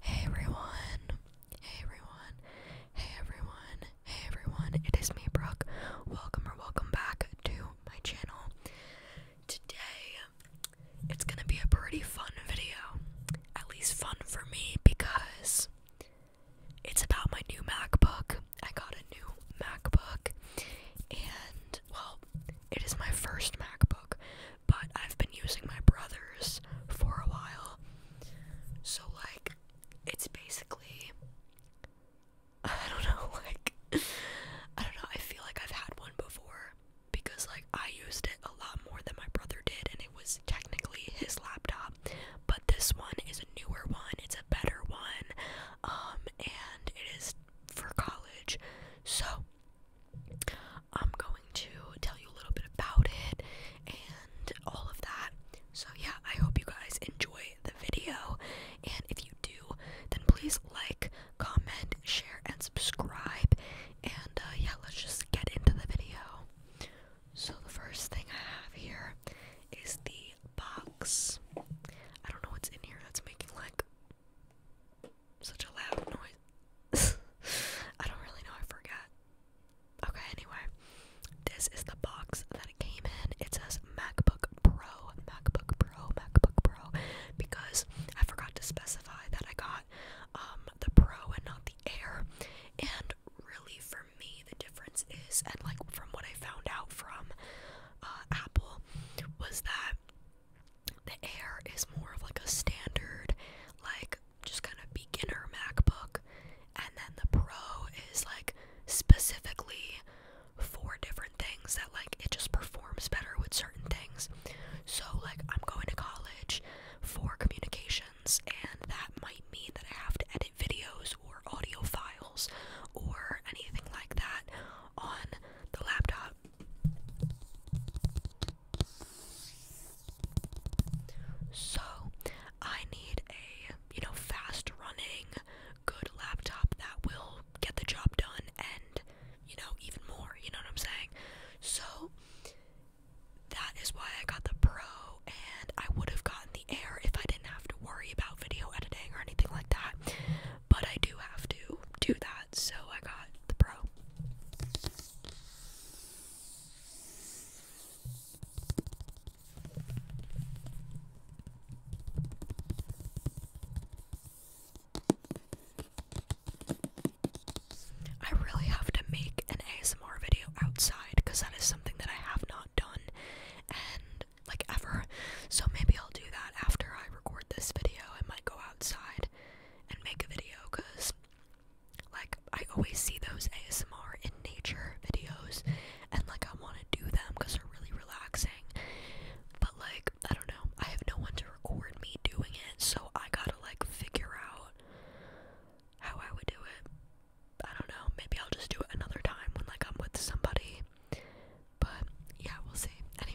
Hey everyone. Hey everyone. Hey everyone. Hey everyone. It is me, Brooke. Welcome or welcome back to my channel. Today it's going to be a pretty fun video. At least fun for me because it's about my new MacBook. I got a new MacBook and well, it is my first MacBook, but I've been using my brother's for a while. So like it's basically I don't know, like I don't know, I feel like I've had one before because like I used it a lot more than my brother did and it was technically his laptop, but this one is a newer one, it's a better one. Um, and it is for college. So I'm going to tell you a little bit about it and all of that. So yeah, I hope you guys enjoy the video. And if you do, then please like, comment, share, and subscribe. And uh, yeah, let's just get into the video. So the first thing I have here is the box. I don't know what's in here that's making like such a loud noise. I don't really know, I forgot. Okay, anyway, this is the box that it came in. It says MacBook Pro, MacBook Pro, MacBook Pro, because I forgot to specify that I got um, the Pro and not the Air. And really, for me, the difference is, and like from what I found out from uh, Apple, was that the Air is more of like a standard, like just kind of beginner MacBook, and then the Pro is like specifically for different things that like it just performs better with certain things. So, like, I'm going to college for communications, and that might mean that I have to edit videos or audio files or anything like that on the laptop. So, I need a, you know, fast running, good laptop that will get the job done and, you know, even more, you know what I'm saying? So, that is why I got the Pro, and I would have gotten the Air if I didn't have to worry about video editing or anything like that but I do have to do that, so I got the Pro. I really have to make an ASMR video outside because that is something that I have not done, and like ever. So maybe I'll do that after I record this video. I might go outside and make a video because like I always see those ASMR in nature videos and like I want to do them because they're really relaxing. But like I don't know, I have no one to record me doing it, so I gotta like figure out how I would do it. I don't know, maybe I'll just do it another time when like I'm with somebody but yeah, we'll see. Anyway.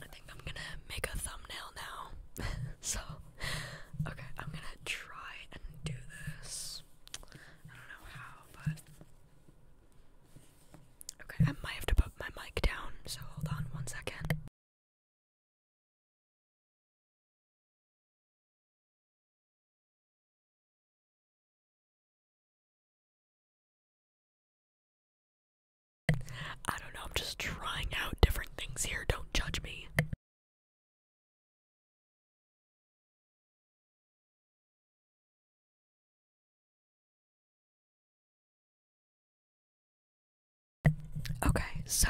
I think I'm gonna make a thumbnail now. so, okay, I'm gonna try and do this. I don't know how, but. Okay, I might have to put my mic down, so hold on one second. I don't know, I'm just trying out different things here. Don't judge me. Okay, so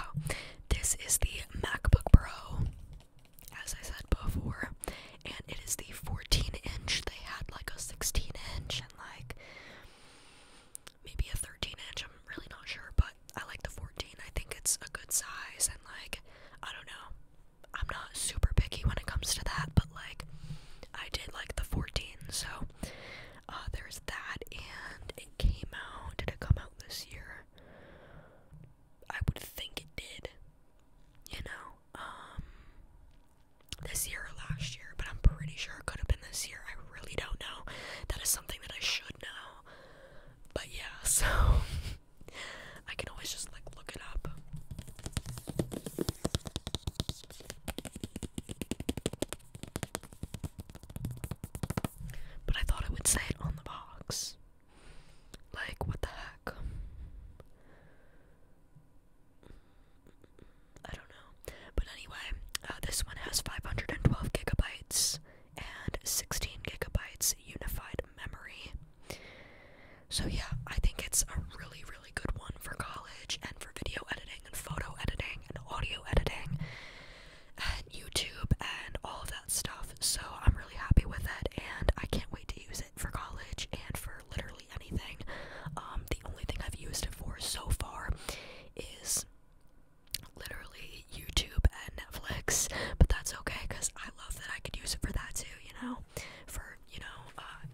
this is the MacBook Pro, as I said before, and it is the 14 inch. They had like a 16 inch and like maybe a 13 inch. I'm really not sure, but I like the 14. I think it's a good size, and like, I don't know. I'm not super picky when it comes to that, but like, I did like the 14, so uh, there's that. And it came out, did it come out this year? I would think it did, you know. Um, this year or last year, but I'm pretty sure it could have been this year. I really don't know. That is something that I should know. But yeah, so I can always just like look it up. But I thought it would say it on the box. Like, what the heck? I don't know. But anyway, uh, this one has 512 gigabytes and 16 gigabytes unified memory. So, yeah, I think it's a really, really good one for college and for video editing and photo editing and audio editing and YouTube and all that stuff. So, I'm really happy with it and I can't wait to use it for college and for for literally anything. Um, the only thing I've used it for so far is literally YouTube and Netflix, but that's okay because I love that I could use it for that too, you know? For, you know, uh,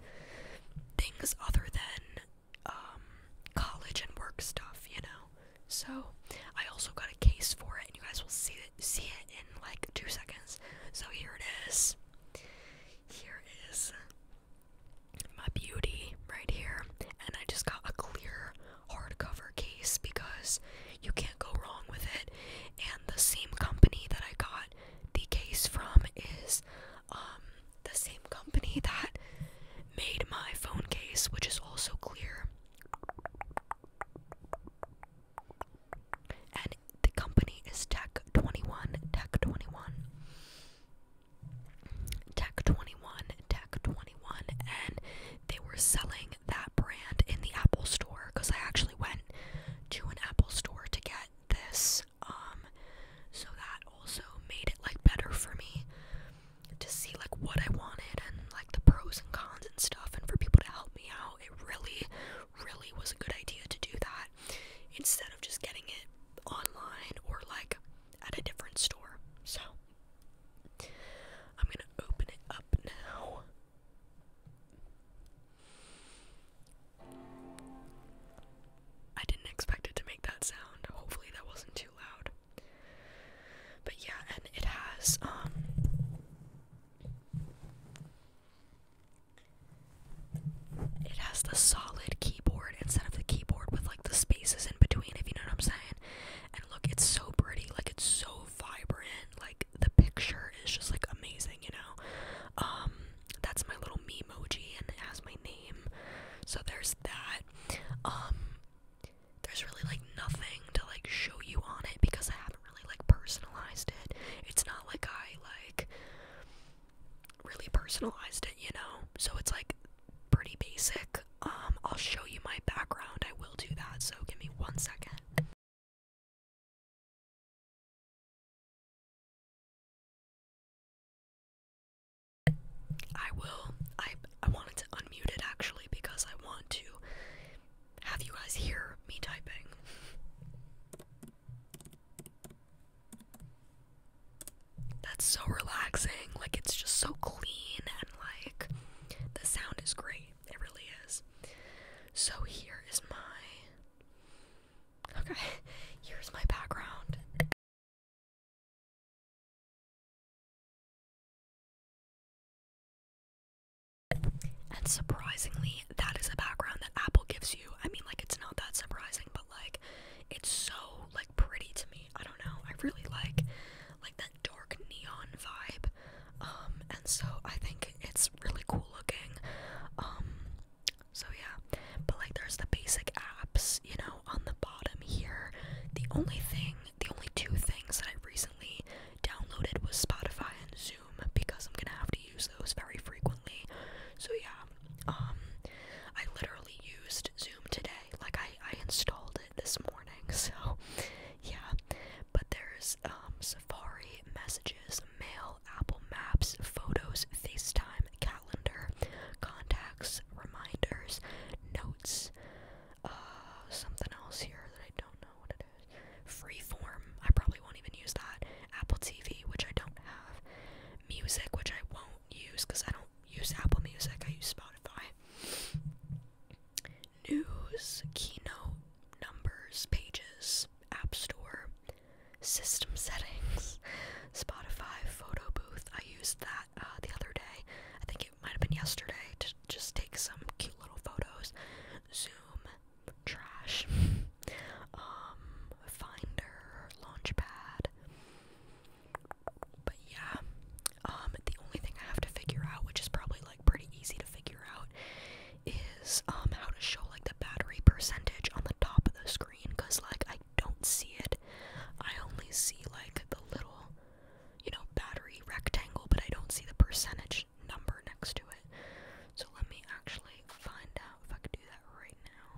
things other than um, college and work stuff, you know? So, I also got a case for it, and you guys will see it, see it in like two seconds. So, here it is here is my beauty right here, and I just got a clear hardcover case because you can't go wrong with it. And the same company that I got the case from is um, the same company that made my phone case, which is also clear the company is Tech 21, Tech 21. Tech 21, Tech 21, and they were selling that brand in the Apple store because I actually went to an Apple store to get this. Um, so that also made it like better for me to see like what I wanted and like the pros and cons and stuff, and for people to help me out. It really, really was a good idea to do that instead of just getting it online or like at a different store. So I'm gonna open it up now. I didn't expect it to make that sound. Hopefully that wasn't too loud. But yeah, and it has um it has the solid keyboard instead of the keyboard with like the spaces in between, if you know what I'm saying. And look, it's so pretty, like it's so vibrant, like the picture is just like amazing, you know. Um, that's my little me emoji, and it has my name. So there's that. Um, there's really like nothing to like show you on it because I haven't really like personalized it. It's not like I like really personalized it, you know? So it's like pretty basic. Um, I'll show you my background. I will do that, so give me one second. I will I I wanted to unmute it actually because I want to have you guys hear me typing. That's so relaxing. Like, it's just so clean, and like, the sound is great. It really is. So, here is my. Okay, here's my background. And surprisingly, that is a background that Apple gives you. I mean, like, it's not that surprising, but like, it's so like pretty to me. I don't know. I really like like that dark neon vibe. Um, and so I think it's really cool looking. Um, so yeah. But like, there's the basic apps, you know, on the bottom here. The only thing, the only two things that I recently downloaded was Spotify and Zoom because I'm gonna have to use those very frequently. So yeah, um, I literally used Zoom today. Like I, I installed it this morning. So yeah, but there's um, Safari, Messages, Mail, Apple Maps, Photos, FaceTime, Calendar, Contacts, Reminders, Notes, uh, something else here that I don't know what it is. Freeform, I probably won't even use that. Apple TV, which I don't have. Music, which I won't use because I don't use Apple Music, I use Spotify. News, keynote, numbers, pages, App Store, system settings, Spotify, photo booth. I used that uh, the other day. I think it might have been yesterday to just take some cute little photos. Zoom, trash. um, Finder, Launchpad. But yeah, um, the only thing I have to figure out, which is probably like pretty easy to figure out, is um how to show like the battery percentage on the top of the screen, cause like I don't see it. I only see like the little, you know, battery rectangle, but I don't see the percentage number next to it. So let me actually find out if I can do that right now.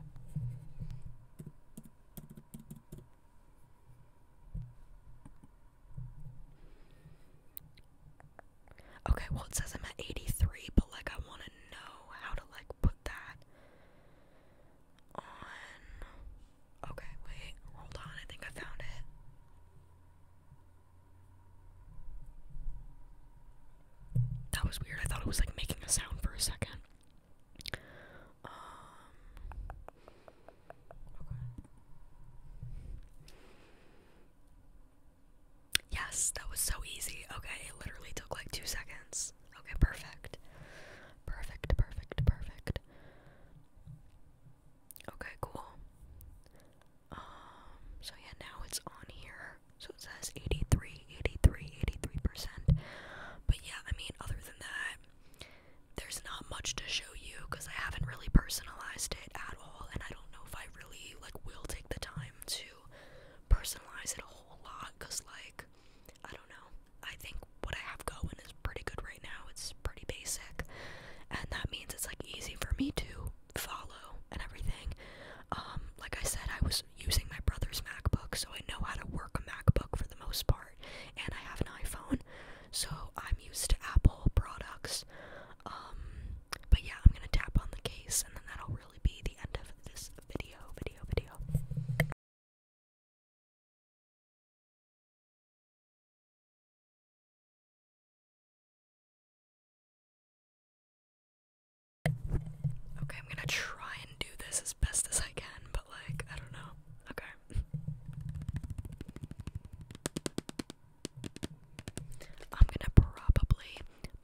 Okay, well it says I'm at 83, but like I want to know how to like put that on. Okay, wait, hold on. I think I found it. That was weird. I thought it was like making a sound for a second. Um, yes, that was so easy. Okay, it literally took like two seconds. Okay, perfect. Perfect, perfect, perfect. Okay, cool. Um, so yeah, now it's on here. So it says 83, 83, 83%. But yeah, I mean, other than that, there's not much to show you because I haven't really personalized it at all. And I don't know if I really, like, will take the time to personalize it a whole lot because, like, I don't know. I think what I have going is pretty good right now. It's pretty basic. And that means it's, like, easy for me to follow and everything. Um, like I said, I was using my brother's MacBook, so I know how to work a MacBook for the most part, and I have an iPhone, so I'm used to Apple products. Um, but yeah, I'm gonna tap on the case, and then that'll really be the end of this video, video, video. Okay, I'm gonna try and do this as best as I can, but like, I don't know. Okay. I'm gonna probably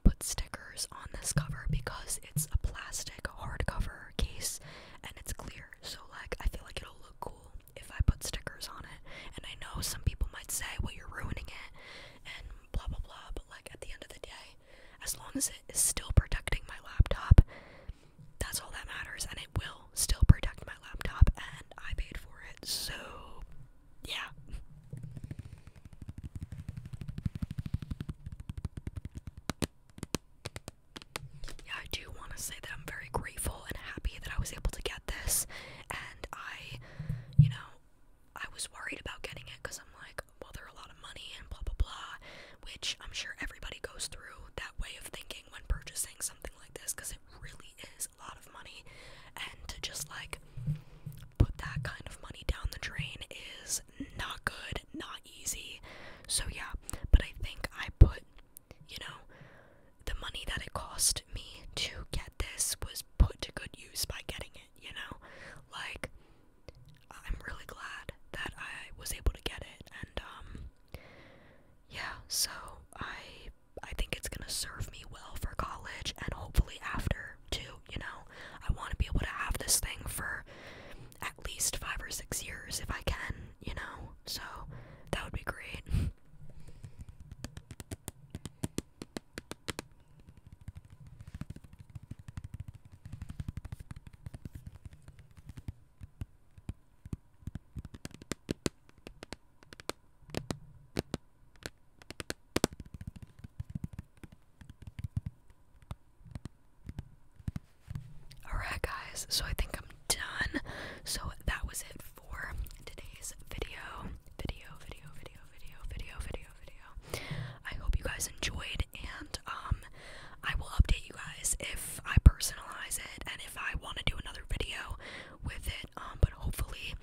put stickers on this cover because it's a plastic hardcover case and it's clear. So, like, I feel like it'll look cool if I put stickers on it. And I know some people might say, well, you're ruining it and blah blah blah. But like at the end of the day, as long as it is still protecting my laptop, that's all that matters, and it will still protect my laptop, and I paid for it, so yeah. Yeah, I do want to say that I'm very grateful and happy that I was able to get this, and I I, you know, I was worried about getting it because I'm like, well, they're a lot of money and blah, blah, blah, which I'm sure everybody goes through that way of thinking when purchasing something like this because it really is a lot of money. And to just like put that kind of money down the drain is not good, not easy. So, yeah, but I think I put, you know, the money that it cost me to get this was put to good use by getting it, you know? Like, I'm really glad that I was able to get it, and, um, yeah, so I, I think it's gonna serve me well for college, and hopefully after, too, you know? I want to be able to have this thing for at least five or six years if I can, you know? So, that would be great. Alright, guys, so I think I'm done. So that was it for today's video. Video, video, video, video, video, video, video. I hope you guys enjoyed and um I will update you guys if I personalize it and if I want to do another video with it. Um but hopefully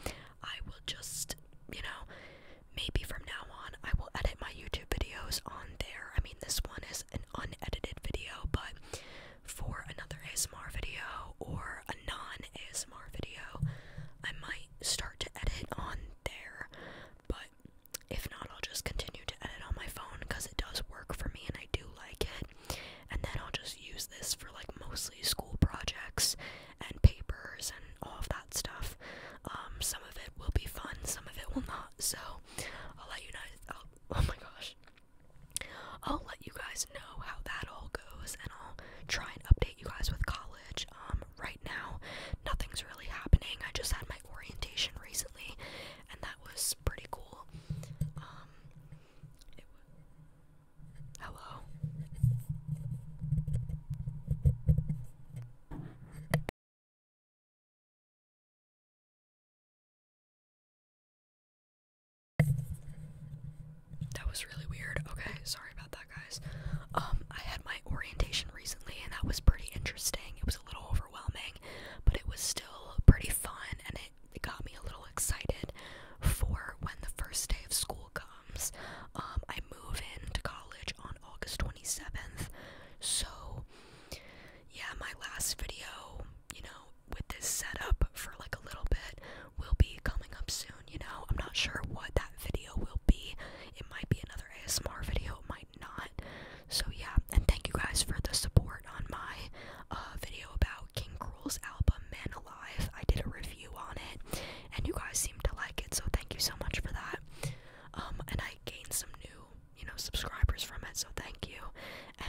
I will just, you know, maybe from now on I will edit my YouTube videos on there. I mean this one is an unedited video, but for another ASMR video or a non ASMR video. I might start to edit on there, but if not, I'll just continue to edit on my phone because it does work for me and I do like it. And then I'll just use this for like mostly school projects and papers and all of that stuff. Um, some of it will be fun, some of it will not. So I'll let you know. oh my gosh. I'll let you guys know how that all goes, and I'll try and update you guys with college. Um, right now, nothing's really happening. I just had my orientation recently, and that was pretty cool. Um, hello. That was really weird. Okay, sorry about that, guys. Um, I had my orientation recently, and that was pretty interesting. It was a little overwhelming, but it was still pretty fun, and it, it got me a little excited for when the first day of school comes. Um, I move into college on August 27th, so yeah, my last video, you know, with this setup for like a little bit will be coming up soon, you know. I'm not sure what that video will be. It might be another ASMR video, it might not. So yeah, and thank you guys for the support on my uh, video about King Cruel's album Man Alive. I did a review on it and you guys seem to like it, so thank you so much for that. Um and I gained some new, you know, subscribers from it, so thank you.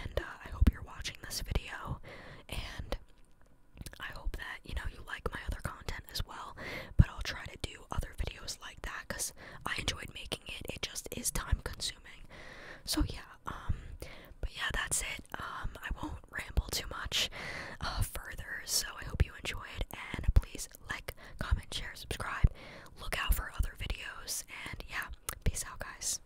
And uh, I hope you're watching this video and I hope that you know you like my other content as well, but I'll try to do other videos like that because I enjoyed making it. It just is time consuming. So yeah, um, but yeah, that's it. Um, I won't ramble too much uh, further. So I hope you enjoyed, and please like, comment, share, subscribe. Look out for other videos, and yeah, peace out, guys.